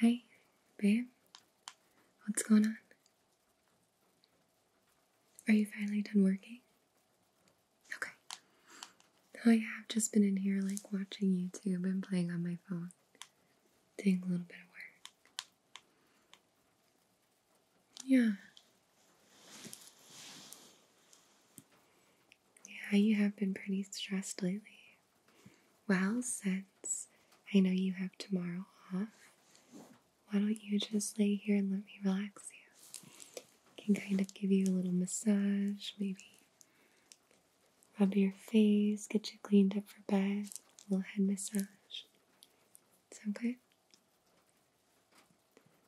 Hey, babe. What's going on? Are you finally done working? Okay. Oh, yeah, I've just been in here like watching YouTube and playing on my phone, doing a little bit of work. Yeah, yeah, you have been pretty stressed lately. Well, since I know you have tomorrow off, why don't you just lay here and let me relax you? can kind of give you a little massage, maybe rub your face, get you cleaned up for bed, little head massage. It's okay.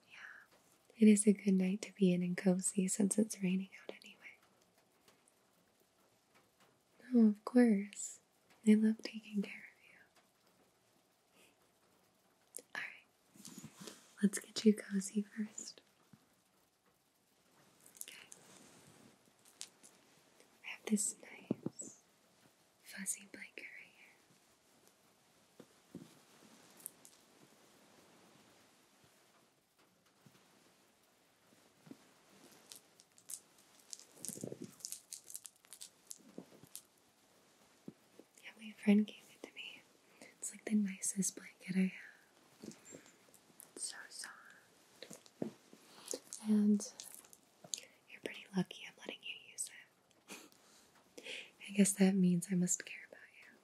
Yeah, it is a good night to be in and cozy since it's raining out anyway. No, oh, of course. I love taking care of you. Alright, let's get you cozy first. Okay. I have this nice fuzzy blanket here. Yeah, my friend gave it to me. It's like the nicest blanket I have. It's so soft. And you're pretty lucky I'm letting you use it. I guess that means I must care about you.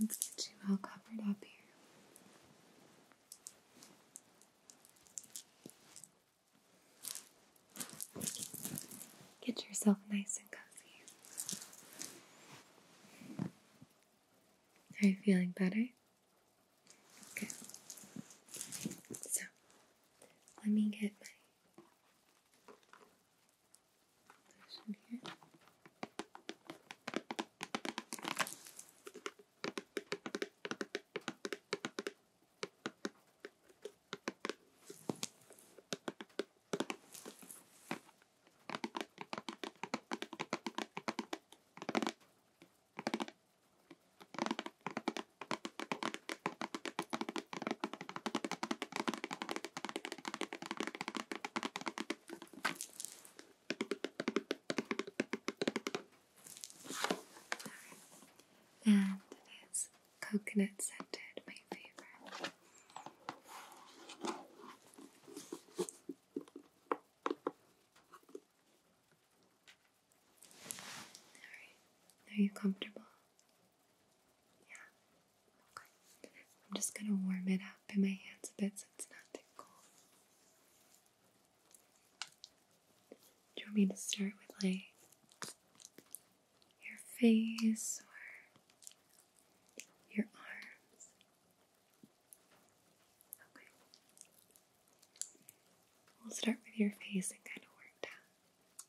Let's get you all covered up here. Get yourself nice and cozy. Are you feeling better? Good. So, let me get my this in here. And it is coconut scented, my favorite are you comfortable? Yeah? Okay. I'm just gonna warm it up by my hands a bit so it's not too cold. Do you want me to start with like your face or your arms? Okay. We'll start with your face and kind of work down.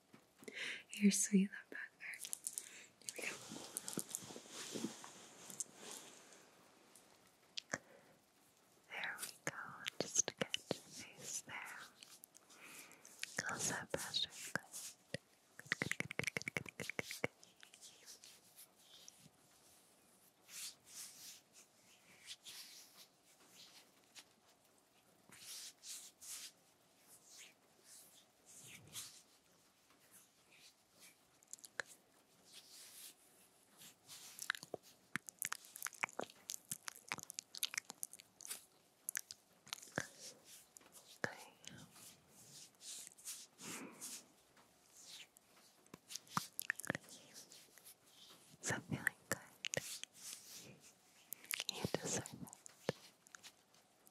You're sweet, love bugger. Here we go. There we go. Just get your face there. How's that pressure? Good. Is feeling good? You deserve it.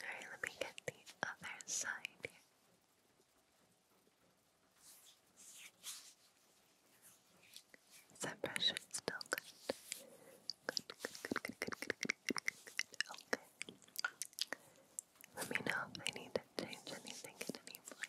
Alright, let me get the other side here. Is that pressure still good? Good, good, good, good, good, good, good, good, Okay. Let me know if I need to change anything at any point.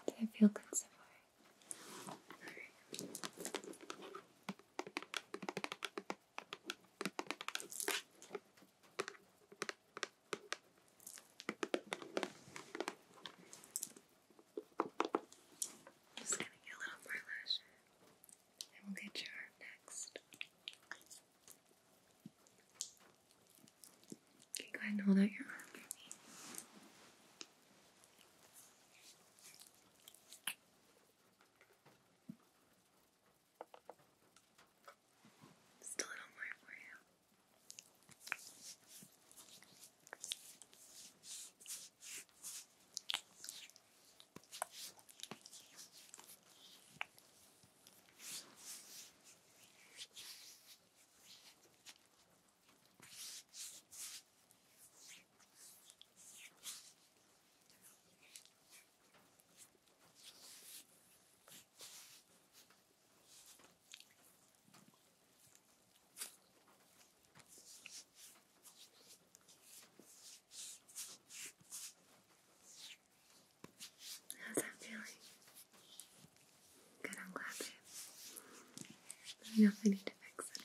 How did feel good so far? Just gonna get a little more lash and we'll get your arm next. Okay, go ahead and hold out your arm for me. Just a little more for you. How's that feeling? Good, I'm glad I know if I need to fix it.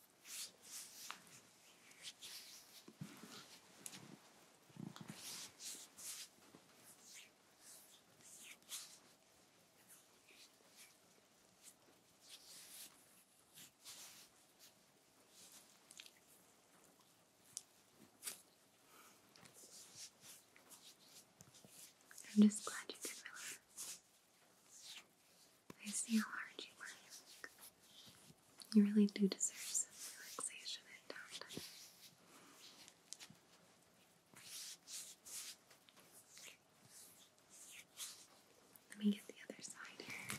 I'm just glad you could relax. I see how hard you work. You really do deserve some relaxation and downtime. Let me get the other side here.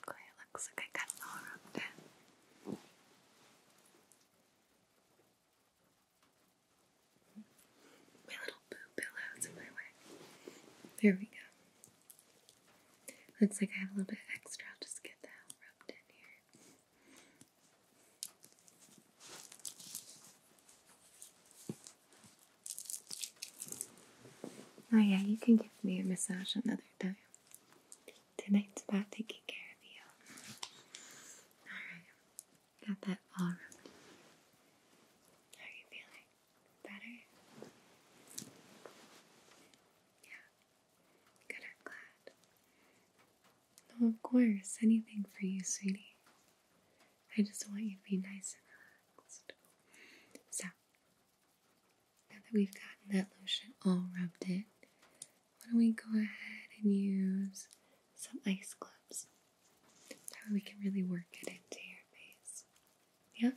Okay, looks like I got it all around it. My little boo pillows in my way. There we go. Looks like I have a little bit extra. I'll just get that rubbed in here. Oh yeah, you can give me a massage another time. Tonight's about taking care of you. Alright. Got that all rubbed. How are you feeling? Better? Yeah. Good, I'm glad. No, of course, anything for you, sweetie. I just want you to be nice and relaxed. So, now that we've gotten that lotion all rubbed in, why don't we go ahead and use some ice gloves? That way we can really work it into your face. Yeah?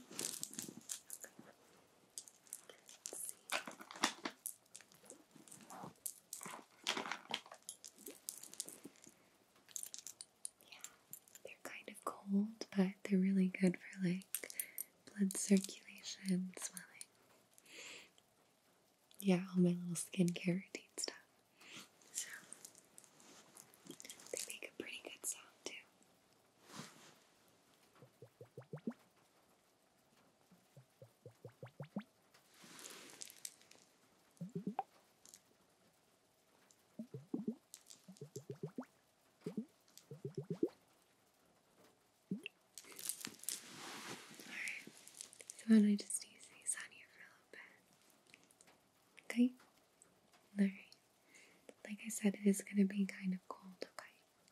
Yeah, they're kind of cold, but they're really good for like blood circulation, swelling. Yeah, all my little skincare routine stuff. So, they make a pretty good sound too. Alright, so why don't I just use these on you for a little bit? Okay? Alright. Like I said, it is going to be kind of cold, okay?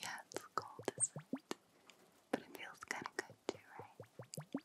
Yeah, it's cold, isn't it? But it feels kind of good too, right?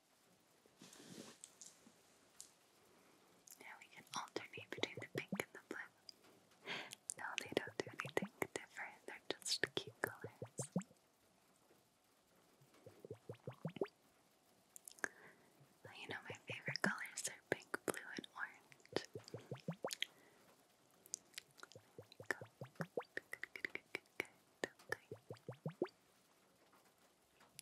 Now we can alternate between the pink and the blue. No, they don't do anything different, they're just cute colors. Well, you know, my favorite colors are pink, blue, and orange.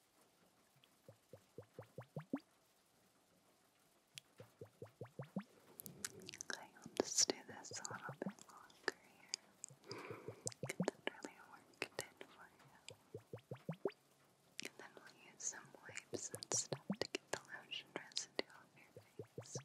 I'll just do this a little bit longer here. And then really work it for you. And then we'll use some wipes and stuff to get the lotion residue off your face.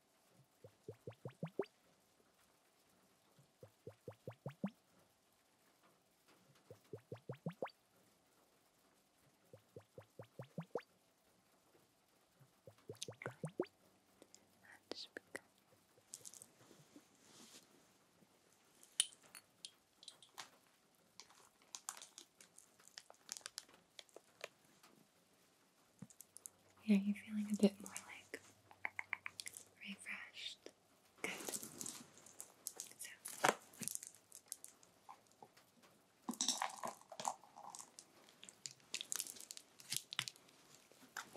That's because yeah, you're feeling a bit more like refreshed. Good.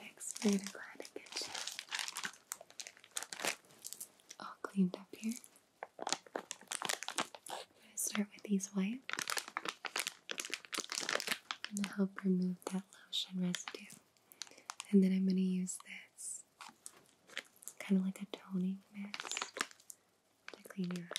Next, we're gonna go ahead and get all cleaned up here. I'm gonna start with these wipes going to help remove that lotion residue. And then I'm going to use this kind of like a toning mist to clean your up.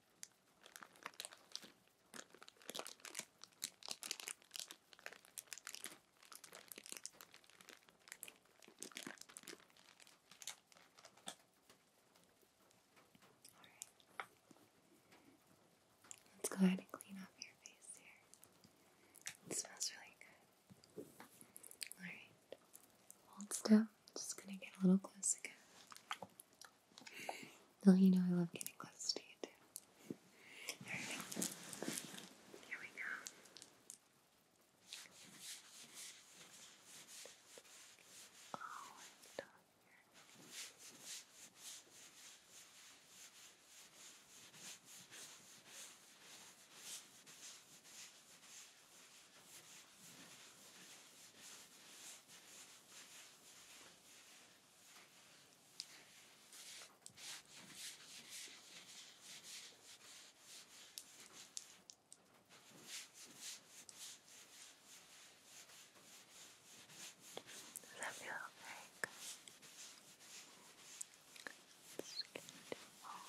Let's go ahead and clean off your face here. It smells really good. Alright. Hold still. Just gonna get a little close again. you know I love getting close to you too. Here we go. Oh, does that feel okay? Good. Let's get it all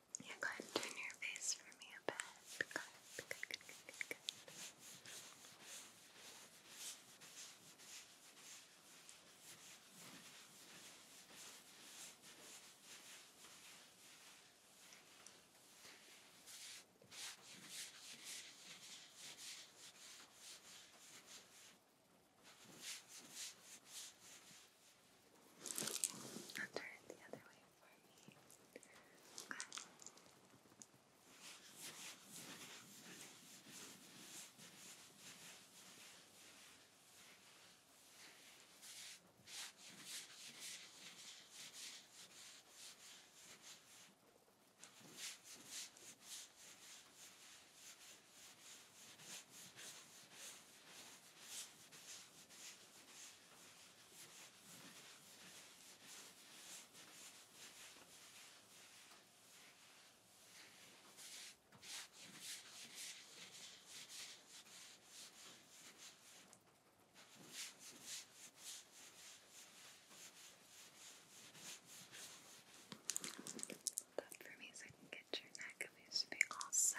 Yeah, go turn your face for me a bit. I'll turn it the other way for me. Okay. Okay. Hold up I can get your neck and we should be all set.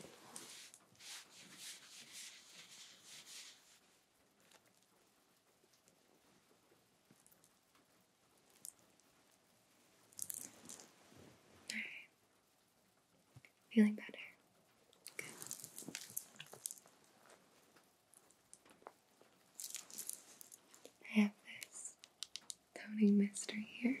All right. Feeling better? Good. I have this toning Mister here.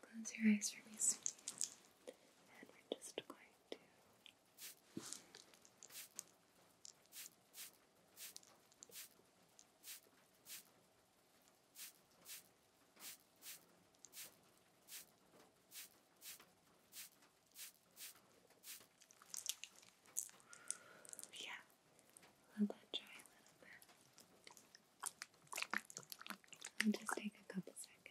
Close your eyes for me, sweetie. And we're just going to yeah, let that dry a little bit. I'll just take a couple seconds.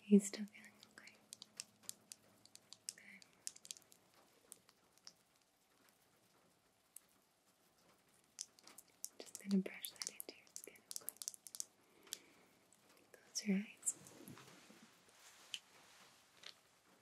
He's still feeling okay. Just gonna brush that into your skin, Close your eyes.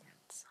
and soft.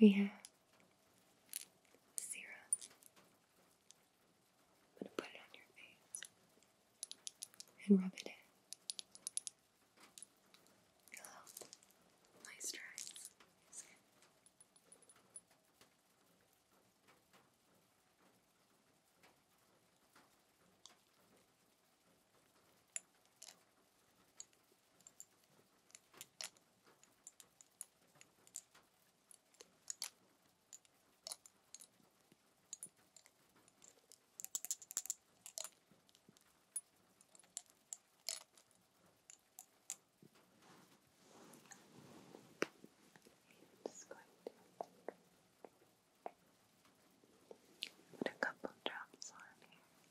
we have serum. I'm going to put it on your face and rub it in. It'll help moisturize just going to put a couple drops on here.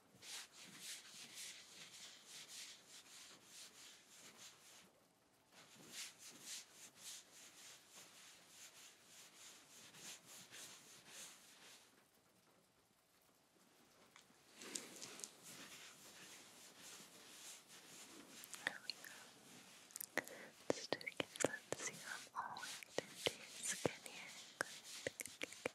There we go. Let's do it again. Let's see how I'm all linked into your skin here. Good, good, good,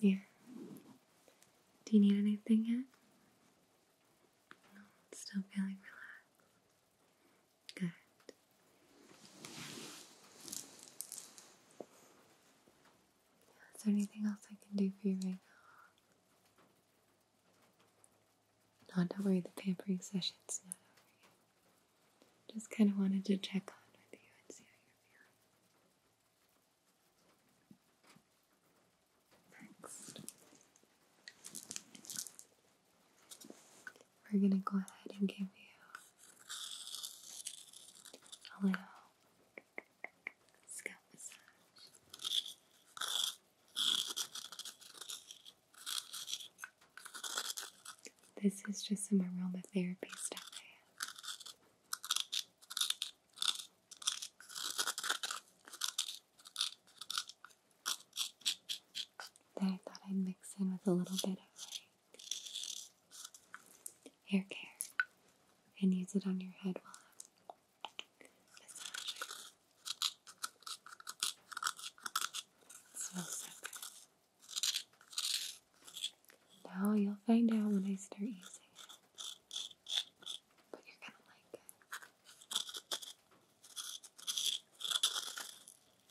Yeah. Do you need anything yet? No, still feeling relaxed. Is there anything else I can do for you right now? No, don't worry, the pampering session's not over yet. Just kind of wanted to check on with you and see how you're feeling. Next. We're gonna go ahead and give you a little scalp massage. This is just some aromatherapy stuff that I thought I'd mix in with a little bit of hair care and use it on your head while I'm massaging. It you'll find out when I start using it. But you're gonna like it.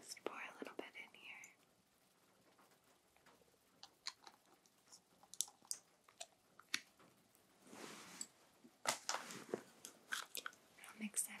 Just pour a little bit in here. I'll mix that up.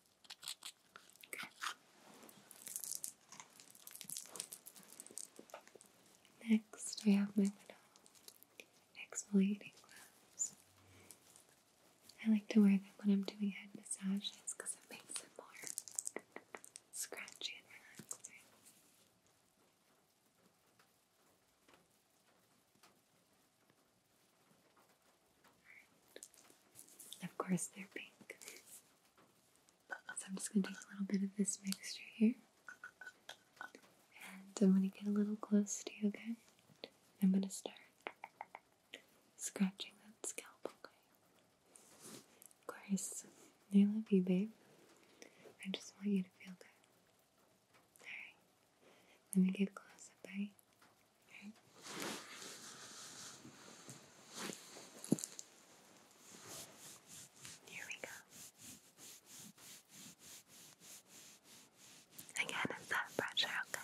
Next, I have my little exfoliating gloves. I like to wear them when I'm doing head massages because it makes them more scratchy and relaxing. Of course, they're pink. So I'm just going to take a little bit of this mixture here. And I'm going to get a little close to you, okay? I'm going to start scratching that scalp, okay? Of course, I love you, babe. I just want you to feel good. Alright. Let me get close up, right? Alright. Here we go. Again, it's that pressure, okay?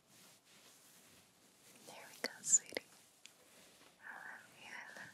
There we go, sweetie. I love you, I love you,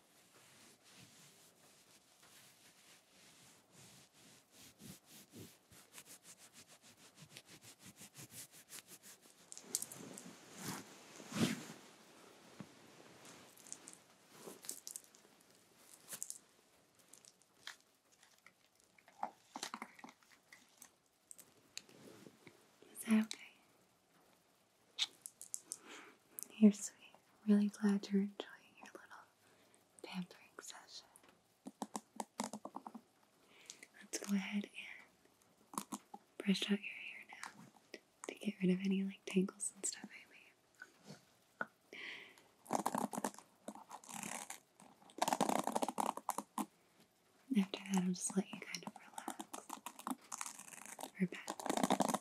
Is that okay? You're sweet. Really glad you're enjoying your little pampering session. Let's go ahead and brush out your hair now to get rid of any like tangles and stuff I After that, I'll just let you kind of relax or back.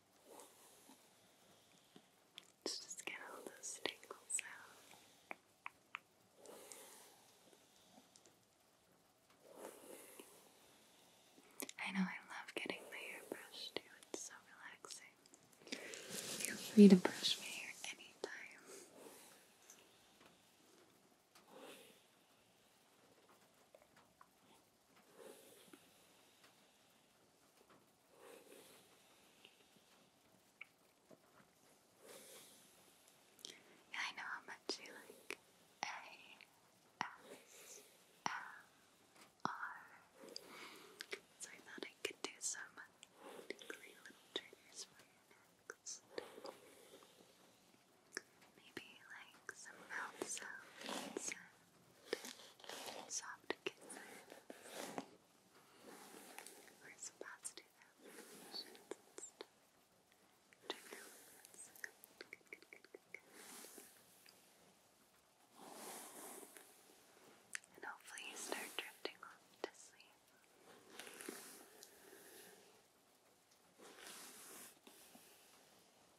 just get all those tingles out. I know I love getting my hair brushed it's so relaxing. Feel free to brush my hair anytime. Yeah, I know how much you like ASMR, so I thought I could do some tingly little triggers for you next. Maybe like some mouth soft kisses we're supposed to and hopefully you start drifting off to sleep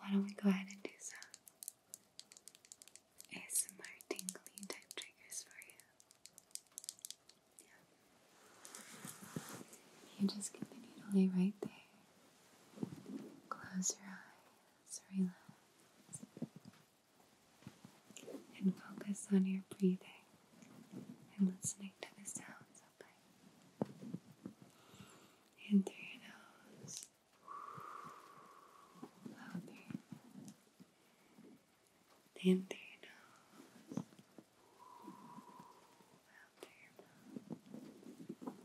why don't we go ahead and do some more tingling type triggers for you? Yeah. You just continue to lay right there. Close your eyes relax and focus on your breathing and listening to the sounds okay? In through your nose, out through your nose, in your nose, out through your mouth.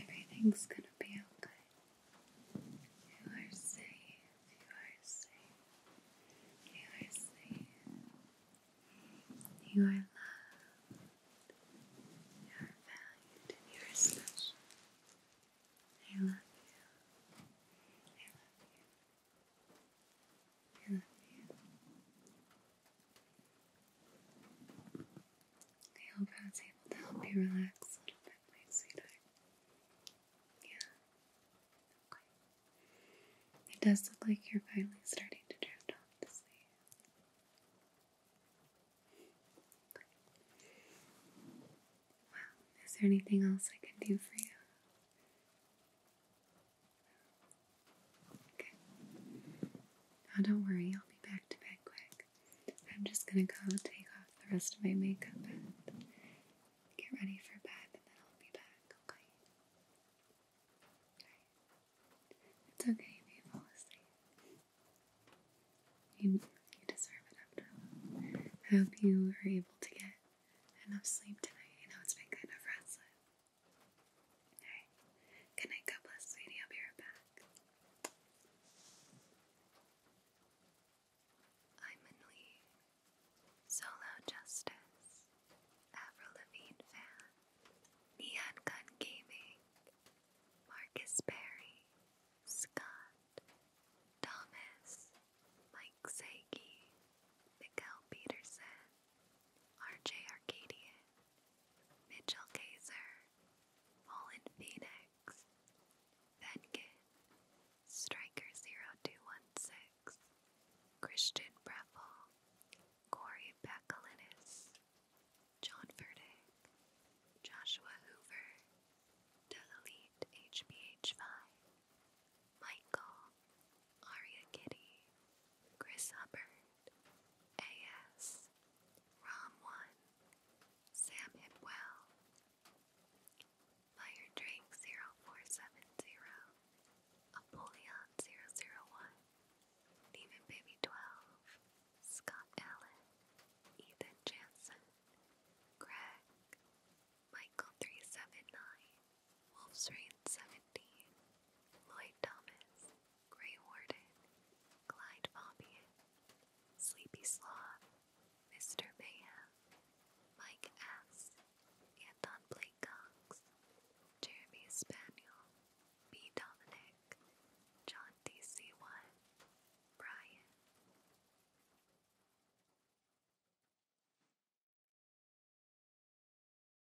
Everything's gonna be okay. You are safe. You are safe. You are safe. You are loved. You are valued you are special. I love you. I love you. I hope I was able to help you relax Yeah. It does look like you're finally starting to drift off to sleep. Okay. is there anything else I can do for you? Now don't worry, I'll be back to bed quick. I'm just gonna go take off the rest of my makeup get ready for bed, and then I'll be back, okay? It's okay if fall asleep. You, you deserve it after I hope you are able to get enough sleep tonight. I know it's been kind of restless. Alright. Good night, sweetie. I'll be right back. I'm in Solo Justice, Avril Lavigne fan, Neon Gun Gaming, Marcus Perry, Scott, Thomas, Mike Saiki, Miguel Peterson, RJ Arcadia, Mitchell Kaiser, Fallen Phoenix, Venkin, Striker0216, Christian Breffel, Corey Bakalinis, John Verdick, Joshua Hoover, Delete HBH5, Michael, Aria Kitty, Chris Hubbard, A.S., Rom1, Sam Hipwell, FireDrake0470, Apollyon001, Demon Baby 12, Scott Allen, Ethan Jansen, Greg, Michael379, Wolf's Rain 17, Lloyd Thomas, Grey Warden, Clyde Fabian, Sleepy Sloth, Mr. Mayhem, Mike S., Anton Blake Jeremy Spaniel, B. Dominic, John DC1, Brian.